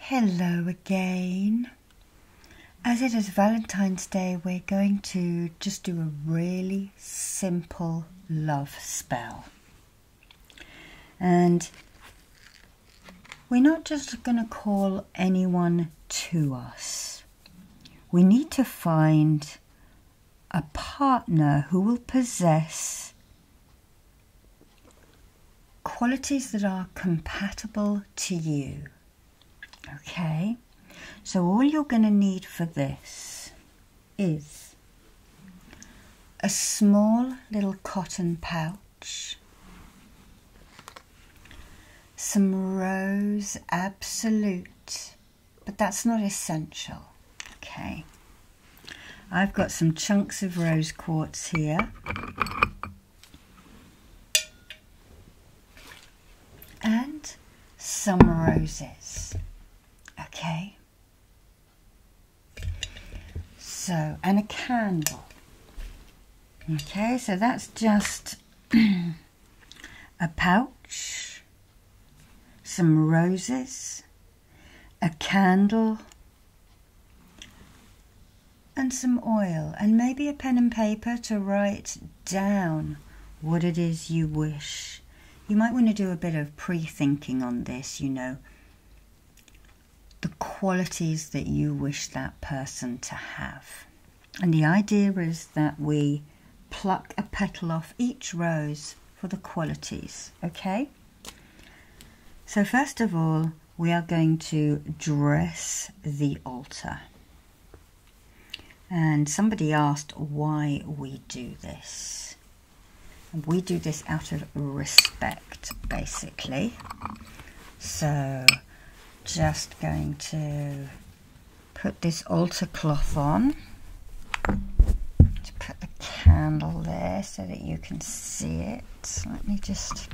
Hello again. As it is Valentine's Day, we're going to just do a really simple love spell. And we're not just going to call anyone to us. We need to find a partner who will possess qualities that are compatible to you. Okay, so all you're going to need for this is a small little cotton pouch, some rose absolute, but that's not essential. Okay. I've got some chunks of rose quartz here. And some roses. Okay. So, and a candle. Okay, so that's just a pouch, some roses, a candle, and some oil and maybe a pen and paper to write down what it is you wish. You might want to do a bit of pre thinking on this, you know, the qualities that you wish that person to have. And the idea is that we pluck a petal off each rose for the qualities, okay? So first of all, we are going to dress the altar. And somebody asked why we do this. we do this out of respect, basically. So just going to put this altar cloth on put a candle there so that you can see it. Let me just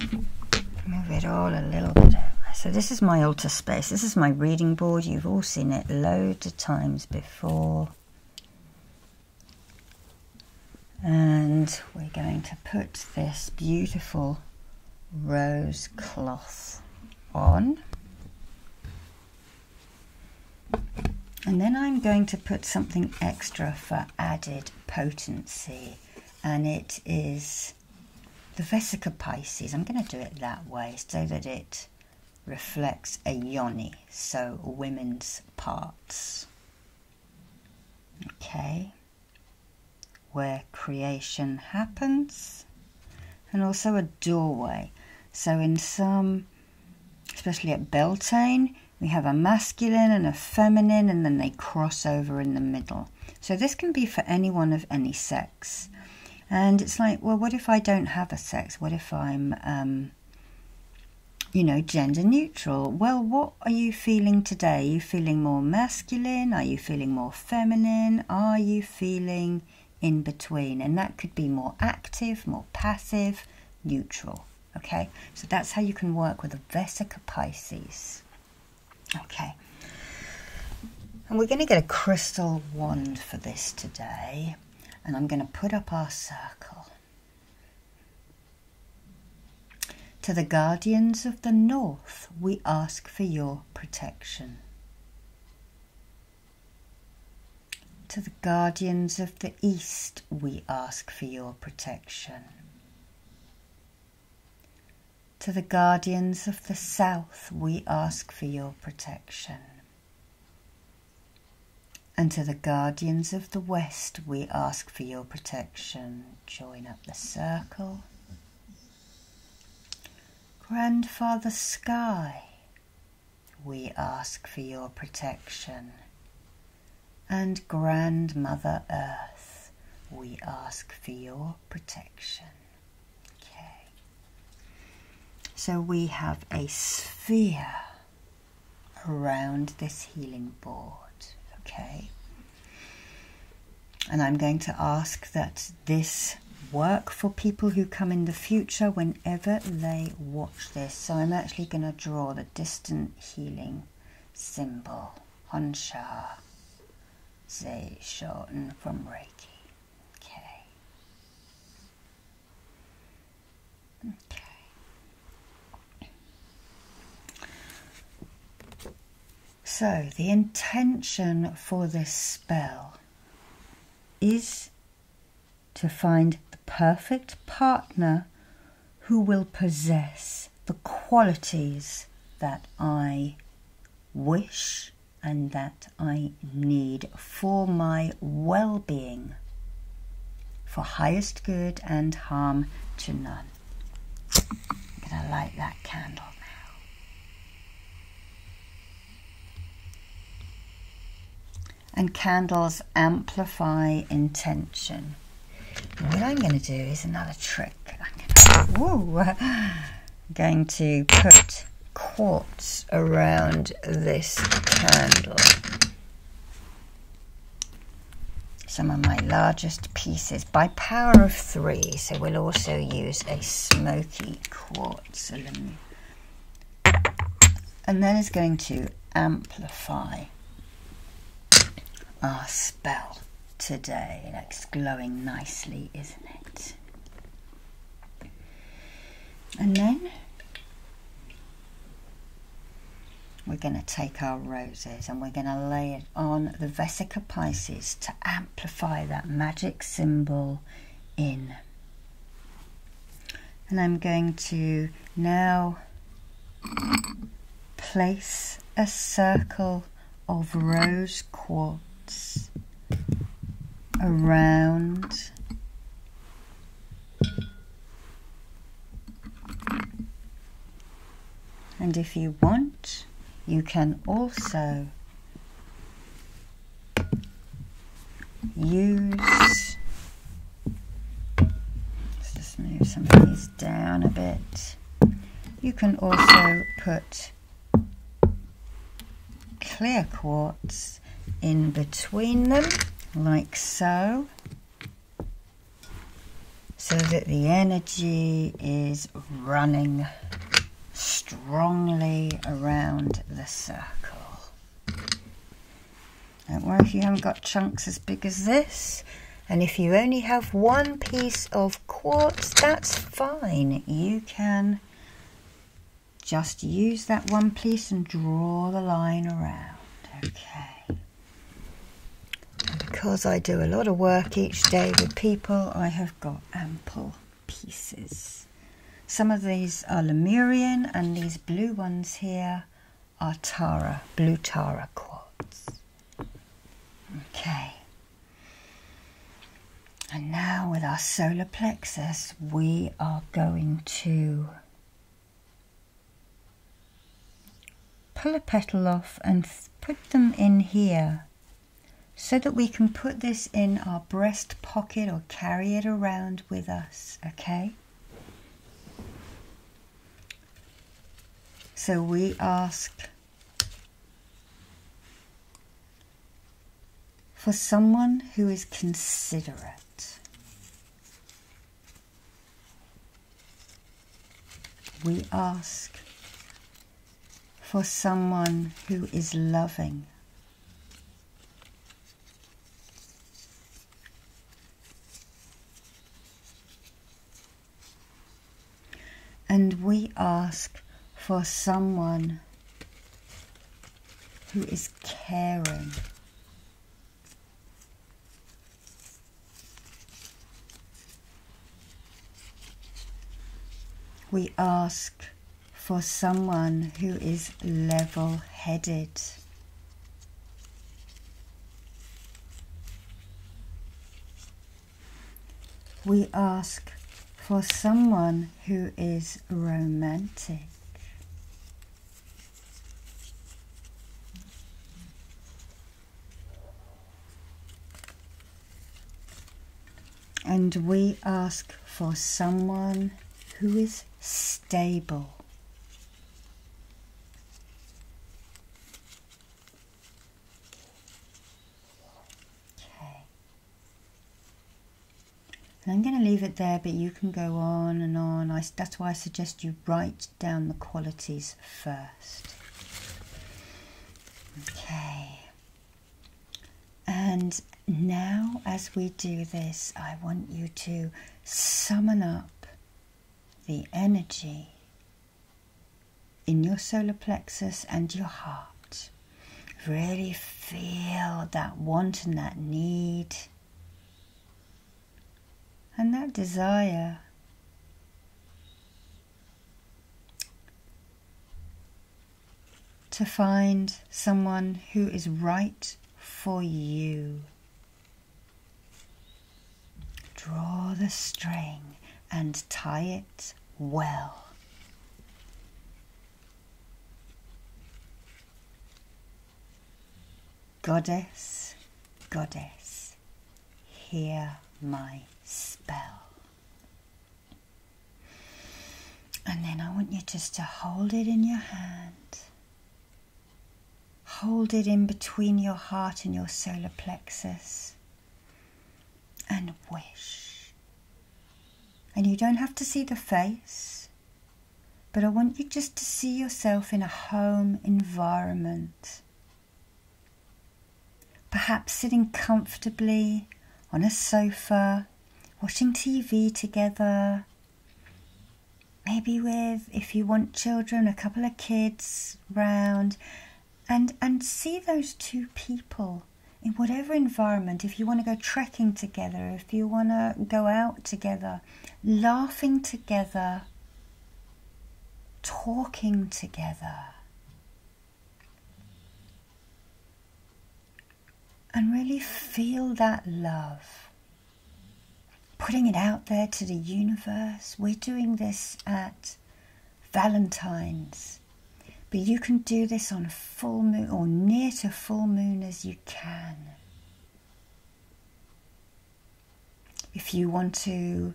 move it all a little bit. So this is my altar space. This is my reading board. You've all seen it loads of times before. And we're going to put this beautiful rose cloth on. And then I'm going to put something extra for added potency, and it is the Vesica Pisces. I'm going to do it that way so that it reflects a yoni, so women's parts. Okay, where creation happens, and also a doorway. So, in some especially at Beltane, we have a masculine and a feminine, and then they cross over in the middle. So this can be for anyone of any sex. And it's like, well, what if I don't have a sex? What if I'm, um, you know, gender neutral? Well, what are you feeling today? Are you feeling more masculine? Are you feeling more feminine? Are you feeling in between? And that could be more active, more passive, neutral. Okay, so that's how you can work with the Vesica Pisces. Okay, and we're going to get a crystal wand for this today, and I'm going to put up our circle. To the guardians of the north, we ask for your protection. To the guardians of the East, we ask for your protection. To the guardians of the South, we ask for your protection. And to the guardians of the West, we ask for your protection. Join up the circle. Grandfather Sky, we ask for your protection. And Grandmother Earth, we ask for your protection. Okay. So we have a sphere around this healing board. Okay. And I'm going to ask that this work for people who come in the future when Ever they watch this. So I'm actually going to draw the distant healing symbol, Honsha Ze Shoten from Reiki. Okay. Okay. So the intention for this spell is to find the perfect partner who will possess the qualities that I wish and that I need for my well being, for highest good and harm to none. I'm going to light that candle. now and candles amplify intention. what I'm going to do is another trick. I'm going to, put quartz around this candle. Some of my largest pieces by power of three. So we'll also use a smoky quartz and then it's going to amplify our spell today. Looks glowing nicely, isn't it? And then we're going to take our roses and we're going to lay it on the Vesica Pisces to amplify that magic symbol in and I'm going to now place a circle of rose quartz around and if you want you can also use Let's just move some of these down a bit. You can also put clear quartz in between them, like so, so that the energy is running strongly around the circle. Don't worry if you haven't got chunks as big as this. And if you only have one piece of quartz, that's fine. You can just use that one piece and draw the line around. Okay. because I do a lot of work each day with people, I have got ample pieces. Some of these are Lemurian and these blue ones here Tara are Tara, blue Tara quartz. Okay. And now with our solar plexus, we are going to pull a petal off and put them in here so that we can put this in our breast pocket or carry it around with us, okay? So we ask for someone who is considerate. We ask for someone who is loving. And we ask for someone who is caring. We ask for someone who is level headed. We ask for someone who is romantic. And we ask for someone who is stable. Okay. I'm going to leave it there, but you can go on and on. I, that's why I suggest you write down the qualities first. Okay. And now, as we do this, I want you to summon up the energy in your solar plexus and your heart. Really feel that want and that need and that desire. To find someone who is right for you. Draw the string and tie it well. Goddess, goddess, hear my spell. And then I want you just to hold it in your hand Hold it in between your heart and your solar plexus and wish. And you don't have to see the face, but I want you just to see yourself in a home environment. Perhaps sitting comfortably on a sofa, watching TV together, maybe with if you want children a couple of kids round and and see those two people in whatever environment if you want to go trekking together if you want to go out together laughing together talking together and really feel that love. Putting it out there to the universe. We're doing this at Valentine's, but you can do this on full moon or near to full moon as you can. If you want to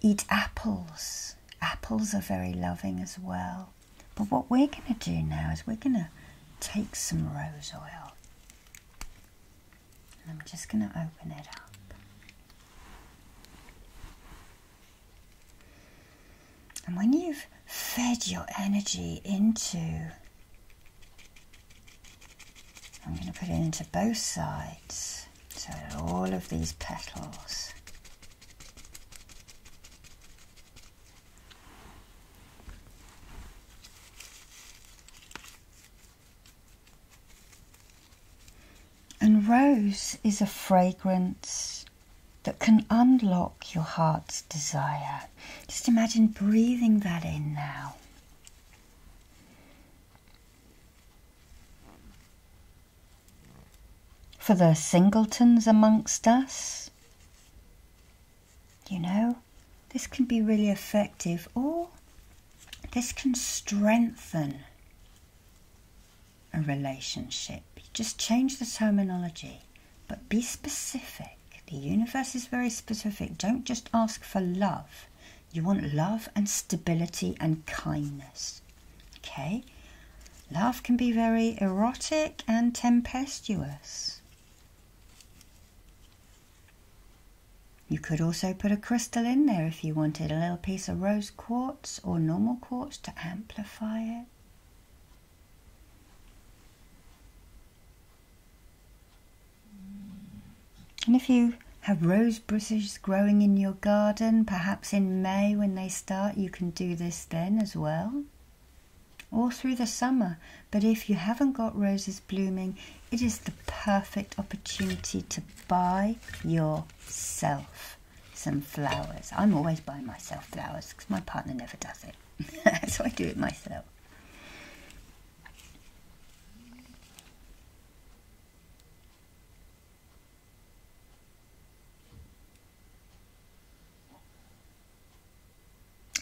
eat apples, apples are very loving as well. But what we're going to do now is we're going to take some rose oil and I'm just going to open it up. And when you've fed your energy into, I'm going to put it into both sides, so all of these petals. And rose is a fragrance that can unlock your heart's desire. Just imagine breathing that in now. For the singletons amongst us, you know, this can be really effective or this can strengthen a relationship. Just change the terminology, but be specific. The universe is very specific. Don't just ask for love. You want love and stability and kindness. Okay? Love can be very erotic and tempestuous. You could also put a crystal in there if you wanted, a little piece of rose quartz or normal quartz to amplify it. And if you have rose bushes growing in your garden, perhaps in May when they start, you can do this then as well all through the summer. But if you haven't got roses blooming, it is the perfect opportunity to buy yourself some flowers. I'm always buying myself flowers because my partner never does it. so I do it myself.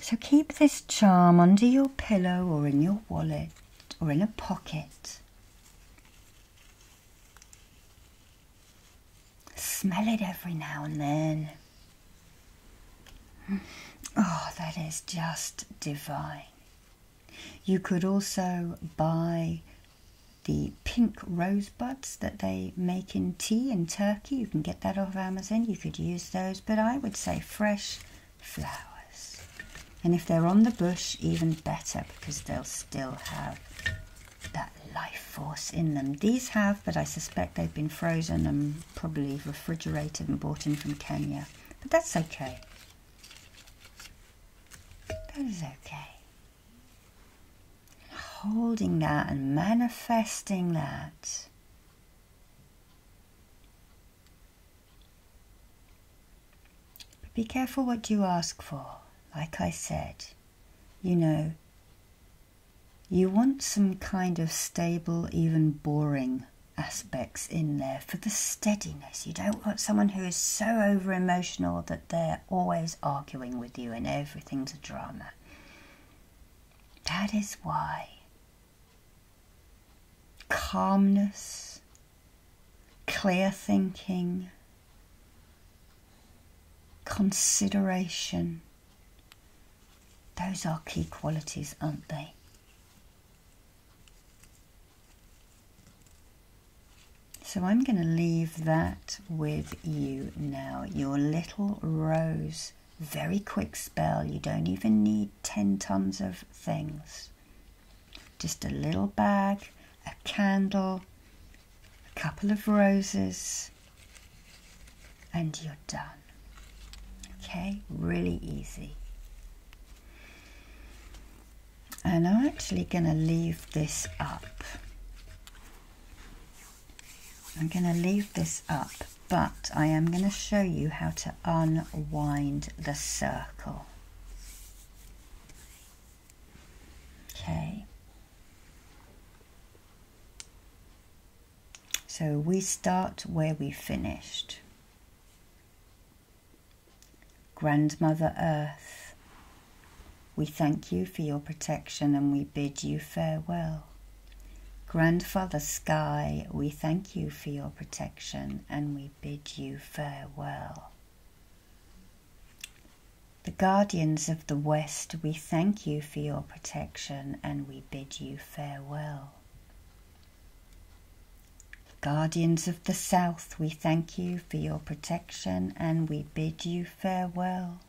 So keep this charm under your pillow or in your wallet or in a pocket. Smell it every now and then. Oh, that is just divine. You could also buy the pink rosebuds that they make in tea in Turkey. You can get that off Amazon. You could use those, but I would say fresh flowers. And if they're on the bush, even better because they'll still have that life force in them. These have, but I suspect they've been frozen and probably refrigerated and brought in from Kenya. But that's okay. That is okay. Holding that and manifesting that but be careful what you ask for. Like I said, you know, you want some kind of stable, even boring aspects in there for the steadiness. You don't want someone who is so over emotional that they're always arguing with you and everything's a drama. That is why calmness, clear thinking, consideration. Those are key qualities, aren't they? So I'm going to leave that with you now, your little rose very quick spell. You don't even need 10 tons of things. Just a little bag, a candle, a couple of roses, and you're done. Okay, really easy. And I'm actually going to leave this up I'm going to leave this up, but I am going to show you how to unwind the circle. Okay. So we start where we finished. Grandmother Earth, we thank you for your protection and we bid you farewell. Grandfather Sky, we thank you for your protection and we bid you farewell. The Guardians of the West, we thank you for your protection and we bid you farewell. Guardians of the South, we thank you for your protection and we bid you farewell.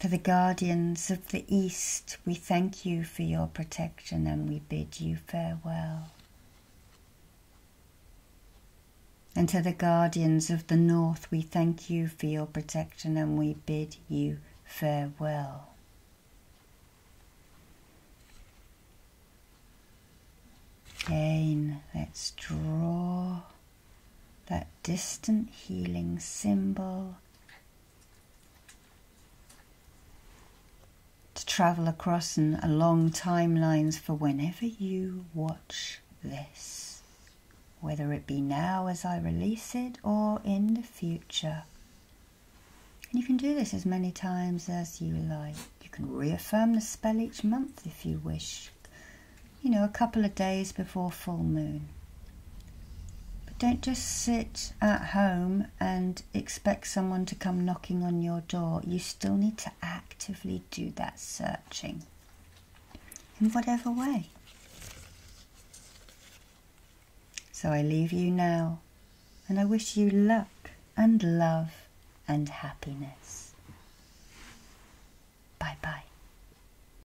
To the guardians of the East, we thank you for your protection and we bid you farewell. And to the guardians of the North, we thank you for your protection and we bid you farewell. Again, let's draw that distant healing symbol to travel across and along timelines for whenever you watch this, whether it be now as I release it or in the future. you can do this as many times as you like. You can reaffirm the spell each month if you wish you know, a couple of days before full moon. But don't just sit at home and expect someone to come knocking on your door. You still need to actively do that searching in whatever way. So I leave you now and I wish you luck and love and happiness. Bye bye.